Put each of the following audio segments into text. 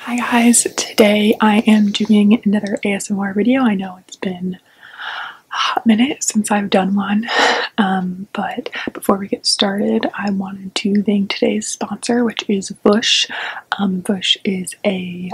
Hi guys, today I am doing another ASMR video. I know it's been a hot minute since I've done one, um, but before we get started, I wanted to thank today's sponsor, which is Bush. Bush um, is a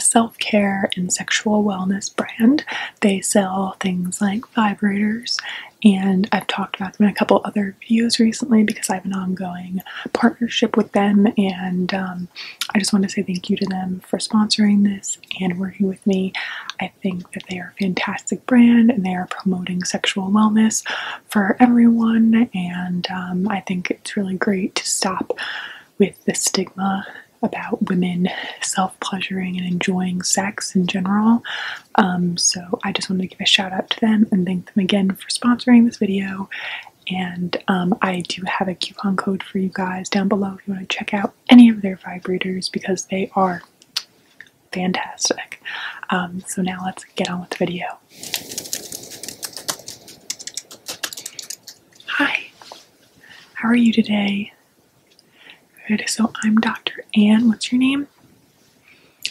self-care and sexual wellness brand. They sell things like vibrators, and I've talked about them in a couple other their recently because I have an ongoing partnership with them, and um, I just want to say thank you to them for sponsoring this and working with me. I think that they are a fantastic brand and they are promoting sexual wellness for everyone, and um, I think it's really great to stop with the stigma about women self pleasuring and enjoying sex in general. Um, so I just wanted to give a shout out to them and thank them again for sponsoring this video and um, I do have a coupon code for you guys down below if you want to check out any of their vibrators because they are fantastic. Um, so now let's get on with the video. Hi, how are you today? Good, so I'm Dr. Anne. What's your name?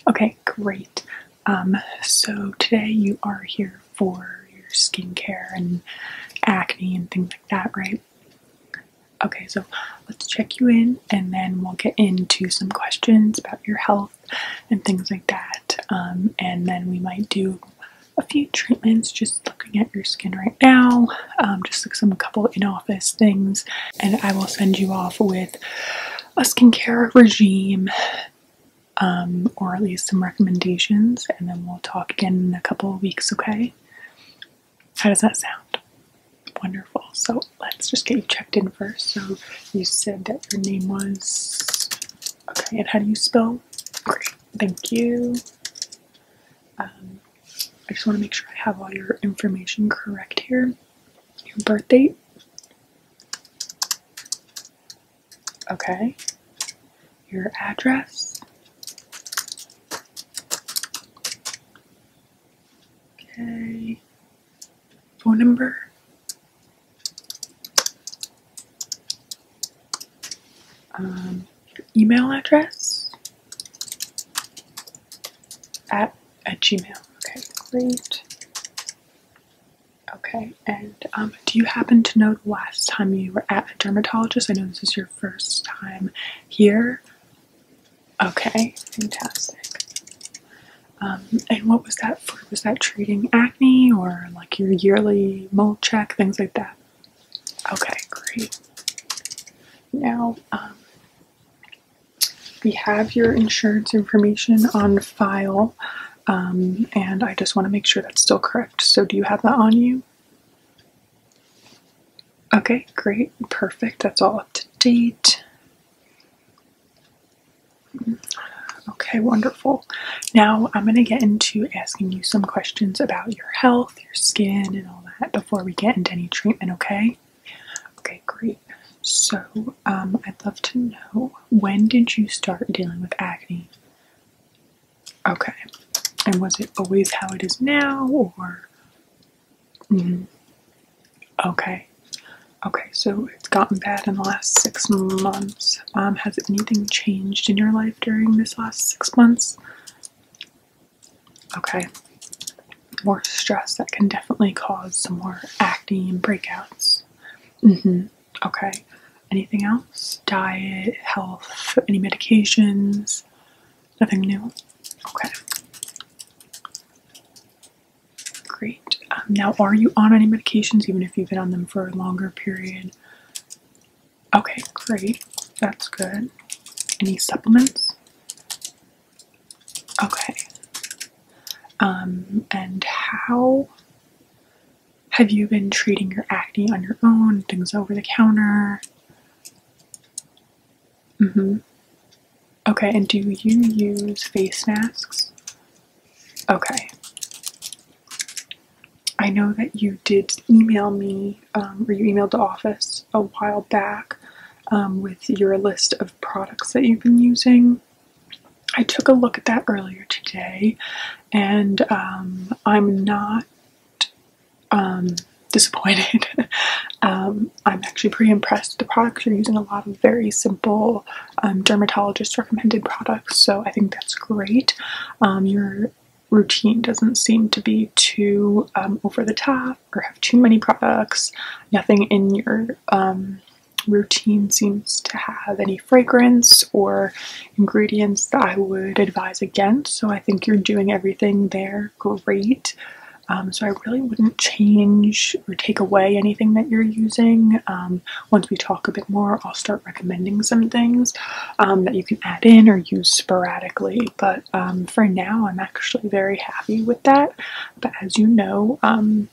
Okay, great. Um, so today you are here for your skincare and acne and things like that, right? Okay, so let's check you in and then we'll get into some questions about your health and things like that. Um, and then we might do a few treatments just looking at your skin right now, um, just like some couple in office things. And I will send you off with a skincare regime um, or at least some recommendations, and then we'll talk again in a couple of weeks, okay? How does that sound? Wonderful. So let's just get you checked in first. So you said that your name was. Okay, and how do you spell? thank you. Um, I just want to make sure I have all your information correct here. Your birth date Okay. Your address. Okay. Phone number. Um, email address at at Gmail. Okay, great. Okay, and um, do you happen to know the last time you were at a dermatologist? I know this is your first time here. Okay, fantastic. Um, and what was that for? Was that treating acne or like your yearly mole check, things like that? Okay, great. Now, um, we have your insurance information on file, um, and I just want to make sure that's still correct. So, do you have that on you? Okay, great, perfect. That's all up to date. Okay, wonderful. Now I'm going to get into asking you some questions about your health, your skin, and all that before we get into any treatment, okay? Okay, great. So um, I'd love to know when did you start dealing with acne? Okay, and was it always how it is now, or? Mm-hmm. Okay, okay, so it's gotten bad in the last six months. Um, has anything changed in your life during this last six months? Okay, more stress that can definitely cause some more acne and breakouts. Yes. mm mm-hmm. Okay. Anything else? Diet, health, any medications? Nothing new? Okay. Great. Um, now, are you on any medications, even if you've been on them for a longer period? Okay, great. That's good. Any supplements? Okay. Um, and how have you been treating your acne on your own? Things over the counter? hmm. Okay, and do you use face masks? Okay. I know that you did email me, um, or you emailed the office a while back um, with your list of products that you've been using. I took a look at that earlier today, and um, I'm not um, disappointed. Um, I'm actually pretty impressed. The products are using a lot of very simple dermatologist recommended products, so I think that's great. your routine doesn't seem to be too over the top or have too many products. Nothing in your um, routine seems to have any fragrance or ingredients that I would advise against. So I think you're doing everything there great. Um, so I really wouldn't change or take away anything that you're using. Um, once we talk a bit more, I'll start recommending some things that you can add in or use sporadically. But for now, I'm actually very happy with that. But as you know, um,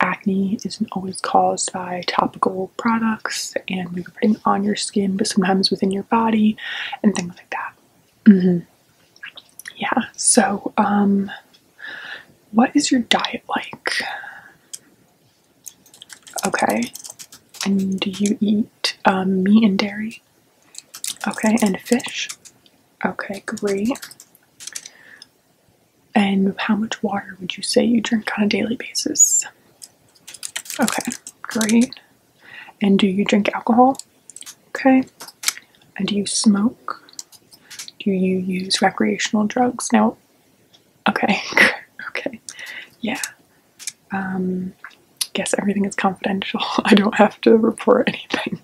acne isn't always caused by topical products and what you putting on your skin, but sometimes within your body and things like that. Mm-hmm. Yeah, so um, what is your diet like? Okay, and do you eat um, meat and dairy? Okay, and fish? Okay, great. And how much water would you say you drink on a daily basis? Okay, great. And do you drink alcohol? Okay. And do you smoke? Do you use recreational drugs? No. Okay. okay. Yeah. Um, guess everything is confidential. I don't have to report anything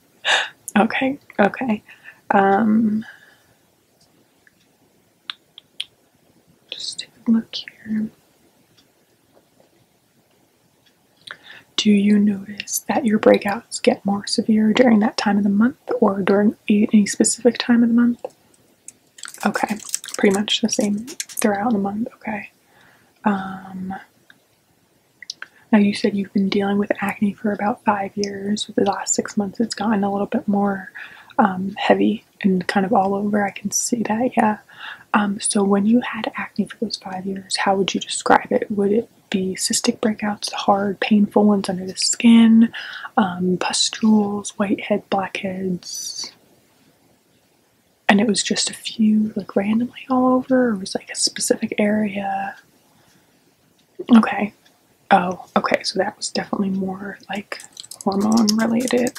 okay, okay. Um, just take a look here. Do you notice that your breakouts get more severe during that time of the month or during any specific time of the month? Okay, pretty much the same throughout the month. Okay. Um, now, you said you've been dealing with acne for about five years. With the last six months, it's gotten a little bit more um, heavy and kind of all over. I can see that, yeah. Um, so, when you had acne for those five years, how would you describe it? Would it be cystic breakouts, hard, painful ones under the skin, um, pustules, whitehead, blackheads? And it was just a few, like randomly all over, or was like a specific area? Okay. Oh, okay, so that was definitely more like hormone related,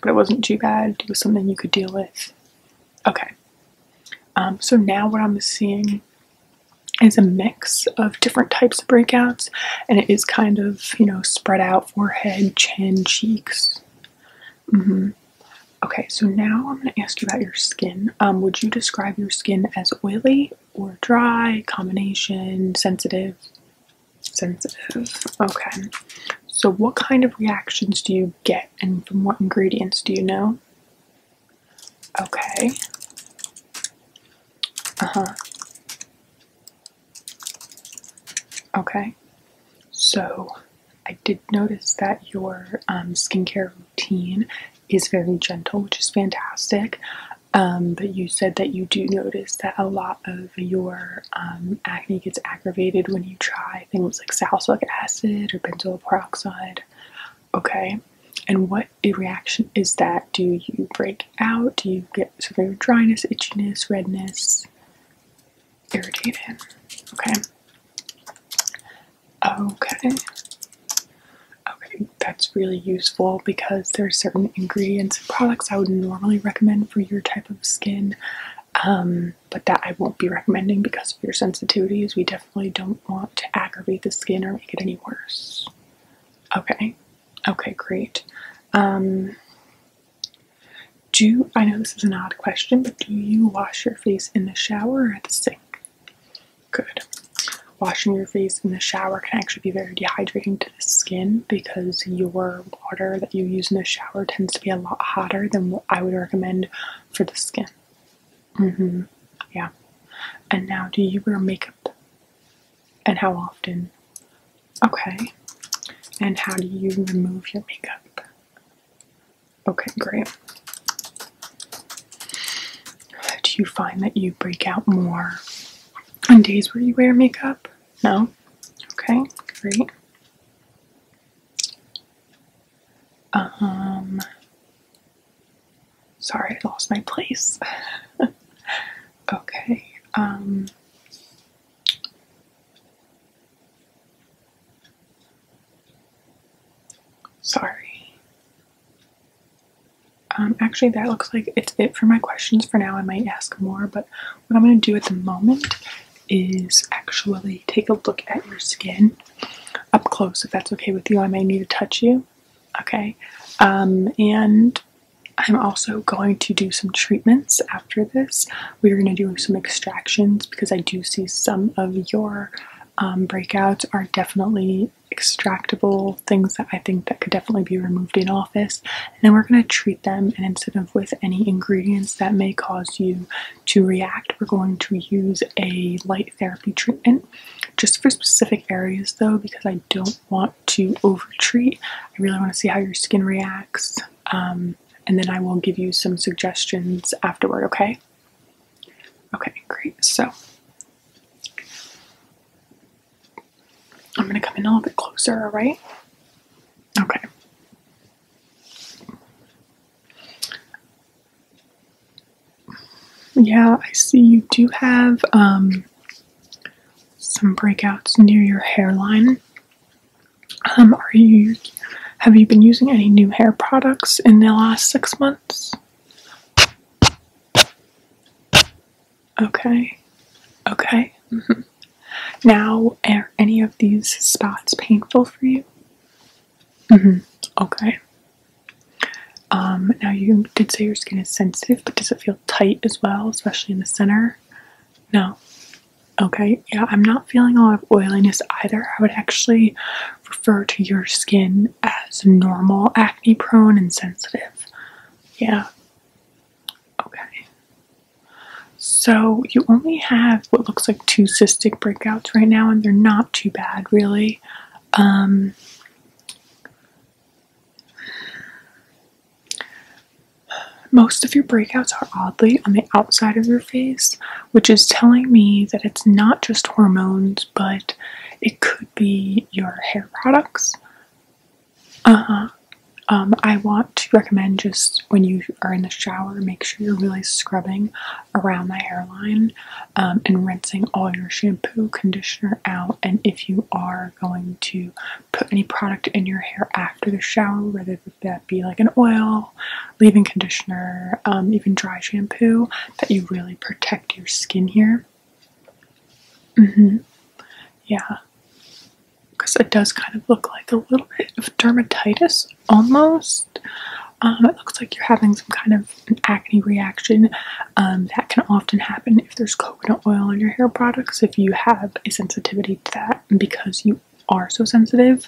but it wasn't too bad. It was something you could deal with. Okay. Um, so now what I'm seeing is a mix of different types of breakouts, and it is kind of, you know, spread out forehead, chin, cheeks. Mm -hmm. Okay, so now I'm going to ask you about your skin. Um, would you describe your skin as oily or dry, combination, sensitive? Sensitive. Okay. So, what kind of reactions do you get and from what ingredients do you know? Okay. Uh huh. Okay. So, I did notice that your um, skincare routine is very gentle, which is fantastic. Um, but you said that you do notice that a lot of your um, acne gets aggravated when you try things like salicylic acid or benzoyl peroxide. Okay, and what reaction is that? Do you break out? Do you get severe dryness, itchiness, redness, irritation? Okay. Okay. Okay, that's really useful because there are certain ingredients and products I would normally recommend for your type of skin, um, but that I won't be recommending because of your sensitivities. We definitely don't want to aggravate the skin or make it any worse. Okay. Okay, great. Um, do I know this is an odd question, but do you wash your face in the shower or at the sink? Good. Washing your face in the shower can actually be very dehydrating to the skin because your water that you use in the shower tends to be a lot hotter than what I would recommend for the skin. Mm-hmm. Yeah. And now, do you wear makeup? And how often? Okay. And how do you remove your makeup? Okay, great. Do you find that you break out more on days where you wear makeup? No? Okay, great. Um, sorry, I lost my place. okay, um, Sorry. Um, actually, that looks like it's it for my questions for now. I might ask more, but what I'm going to do at the moment is actually take a look at your skin up close if that's okay with you. I may need to touch you. Okay. Um, and I'm also going to do some treatments after this we are going to do some extractions because I do see some of your um, breakouts are definitely extractable things that I think that could definitely be removed in office and then we're going to treat them and instead of with any ingredients that may cause you to react we're going to use a light therapy treatment just for specific areas though because I don't want to over treat I really want to see how your skin reacts um, and then I will give you some suggestions afterward, okay? Okay, great. So I'm going to come in a little bit closer, all right? Okay. Yeah, I see you do have um, some breakouts near your hairline. Um, are you have you been using any new hair products in the last six months? Okay, okay. Mm-hmm. Now, are any of these spots painful for you? Mm -hmm. Okay. Um, now, you did say your skin is sensitive, but does it feel tight as well, especially in the center? No. Okay, yeah, I'm not feeling a lot of oiliness either. I would actually refer to your skin as normal, acne prone, and sensitive. Yeah. Okay. So you only have what looks like two cystic breakouts right now, and they're not too bad, really. Um, most of your breakouts are oddly on the outside of your face, which is telling me that it's not just hormones, but it could be your hair products. Uh huh. Um, I want to recommend just when you are in the shower, make sure you're really scrubbing around the hairline um, and rinsing all your shampoo, conditioner out. And if you are going to put any product in your hair after the shower, whether whether that be like an oil, leave-in conditioner, um, even dry shampoo, that you really protect your skin here. Mm-hmm. Yeah. Because it does kind of look like a little bit of dermatitis almost. Um, it looks like you're having some kind of an acne reaction. Um, that can often happen if there's coconut oil in your hair products, if you have a sensitivity to that, because you are so sensitive.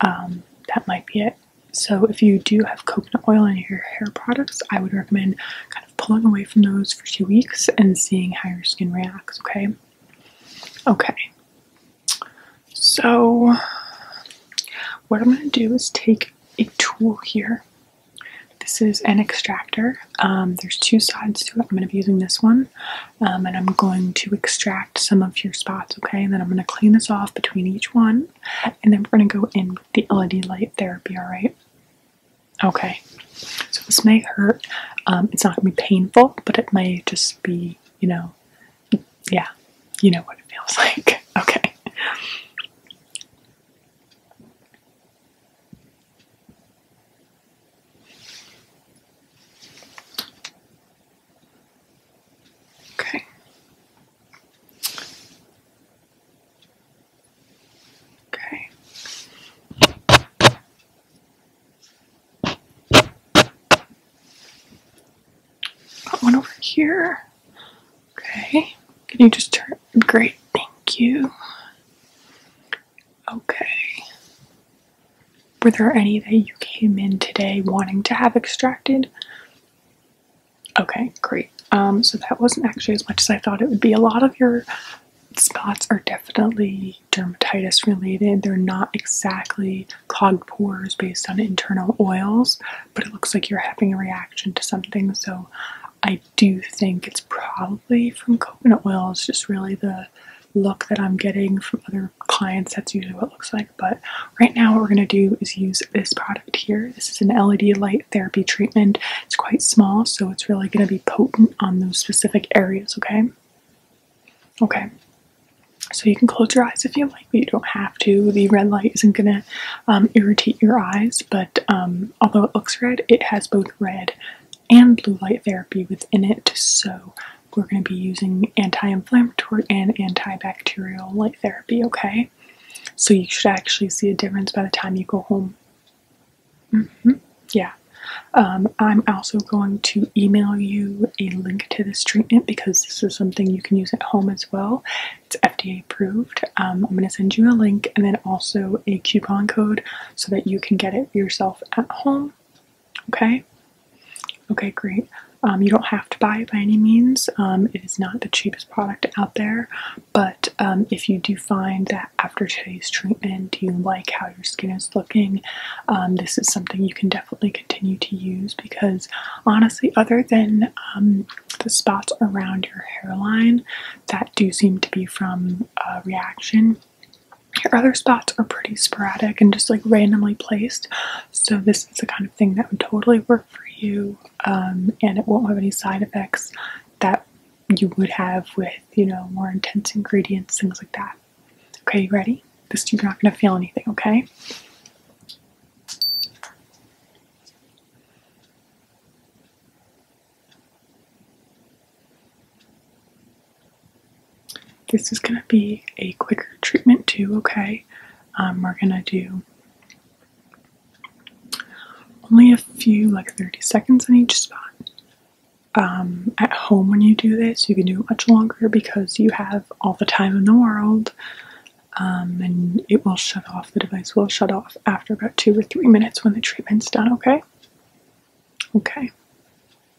Um, that might be it. So, if you do have coconut oil in your hair products, I would recommend kind of pulling away from those for two weeks and seeing how your skin reacts, okay? Okay, so what I'm going to do is take a tool here. This is an extractor. Um, there's two sides to it. I'm going to be using this one um, and I'm going to extract some of your spots, okay? And then I'm going to clean this off between each one, and then we're going to go in with the LED light therapy, all right? Okay, so this may hurt. Um, it's not going to be painful, but it may just be, you know, yeah, you know what it feels like. Okay. Okay. Okay. Got one over here. Okay. Can you just turn? Great, thank you. Okay. Were there any that you came in today wanting to have extracted? Okay, great. Um, so that wasn't actually as much as I thought it would be. A lot of your spots are definitely dermatitis related. They're not exactly clogged pores based on internal oils, but it looks like you're having a reaction to something. So I do think it's probably from coconut oil. It's just really the look that I'm getting from other clients, that's usually what it looks like. But right now, what we're going to do is use this product here. This is an LED light therapy treatment. It's quite small, so it's really going to be potent on those specific areas, okay? Okay. So you can close your eyes if you like, but you don't have to. The red light isn't going to um, irritate your eyes, but um, although it looks red, it has both red and blue light therapy within it. So we're going to be using anti-inflammatory and antibacterial light therapy, okay? So you should actually see a difference by the time you go home. Mm-hmm. Yeah. Um, I'm also going to email you a link to this treatment because this is something you can use at home as well. It's FDA approved. Um, I'm going to send you a link and then also a coupon code so that you can get it yourself at home. Okay. Okay, great. Um, you don't have to buy it by any means. Um, it is not the cheapest product out there, but um, if you do find that after today's treatment you like how your skin is looking, this is something you can definitely continue to use because honestly, other than the spots around your hairline that do seem to be from a reaction, your other spots are pretty sporadic and just like randomly placed, so this is the kind of thing that would totally work for you, um, and it won't have any side effects that you would have with you know more intense ingredients, things like that. Okay, you ready? This you're not gonna feel anything, okay? This is going to be a quicker treatment, too, okay? Um, we're going to do only a few, like 30 seconds on each spot. Um, at home, when you do this, you can do much longer because you have all the time in the world. Um, and it will shut off, the device will shut off after about two or three minutes when the treatment's done, okay? Okay.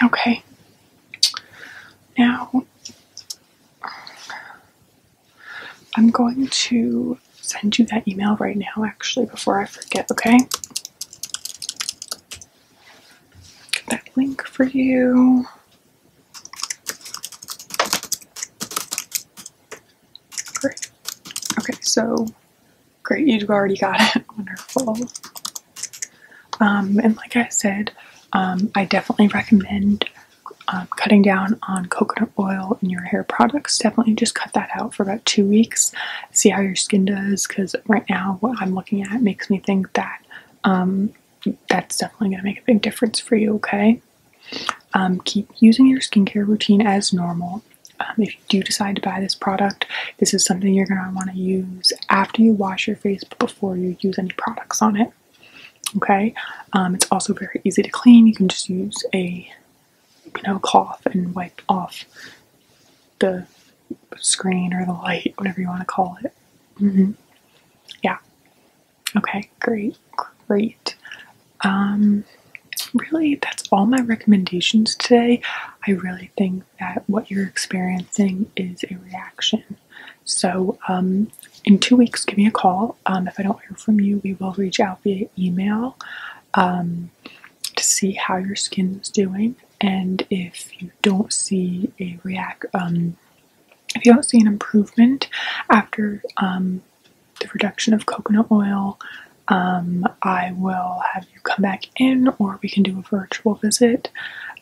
Okay. Now, I'm going to send you that email right now, actually, before I forget, okay? that link for you. Great. Okay, so great, you've already got it. Wonderful. Um, and like I said, um, I definitely recommend um, cutting down on coconut oil in your hair products. Definitely just cut that out for about two weeks. See how your skin does, because right now what I'm looking at makes me think that that's definitely going to make a big difference for you, okay? Um, keep using your skincare routine as normal. Um, if you do decide to buy this product, this is something you're going to want to use after you wash your face, but before you use any products on it. Okay, um, it's also very easy to clean. You can just use a you know cloth and wipe off the screen or the light, whatever you want to call it. Mm-hmm. Yeah, Okay, great, great. Um, really, that's all my recommendations today. I really think that what you're experiencing is a reaction. So, um, in two weeks, give me a call. Um, if I don't hear from you, we will reach out via email to see how your skin is doing. And if you don't see a react, if you don't see an improvement after um, the reduction of coconut oil, um, I will have you come back in or we can do a virtual visit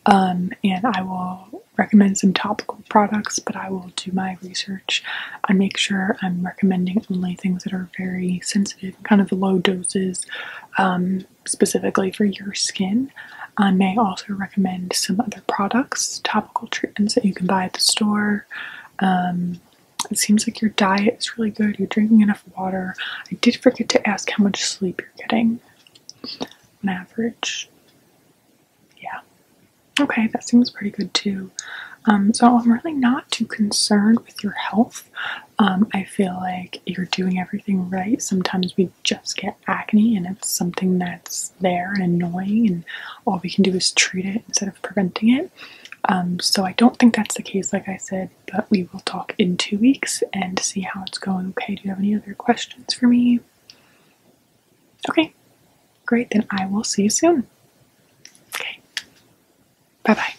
um, and I will recommend some topical products, but I will do my research and make sure I'm recommending only things that are very sensitive, kind of low doses, specifically for your skin. I may also recommend some other products, topical treatments that you can buy at the store. Um, it seems like your diet is really good, you're drinking enough water. I did forget to ask how much sleep you're getting on average. Yeah. Okay, that seems pretty good too. Um, so I'm really not too concerned with your health. Um, I feel like you're doing everything right. Sometimes we just get acne and it's something that's there and annoying and all we can do is treat it instead of preventing it um, so i don't think that's the case like i said but we will talk in two weeks and see how it's going okay do you have any other questions for me okay great then i will see you soon okay bye bye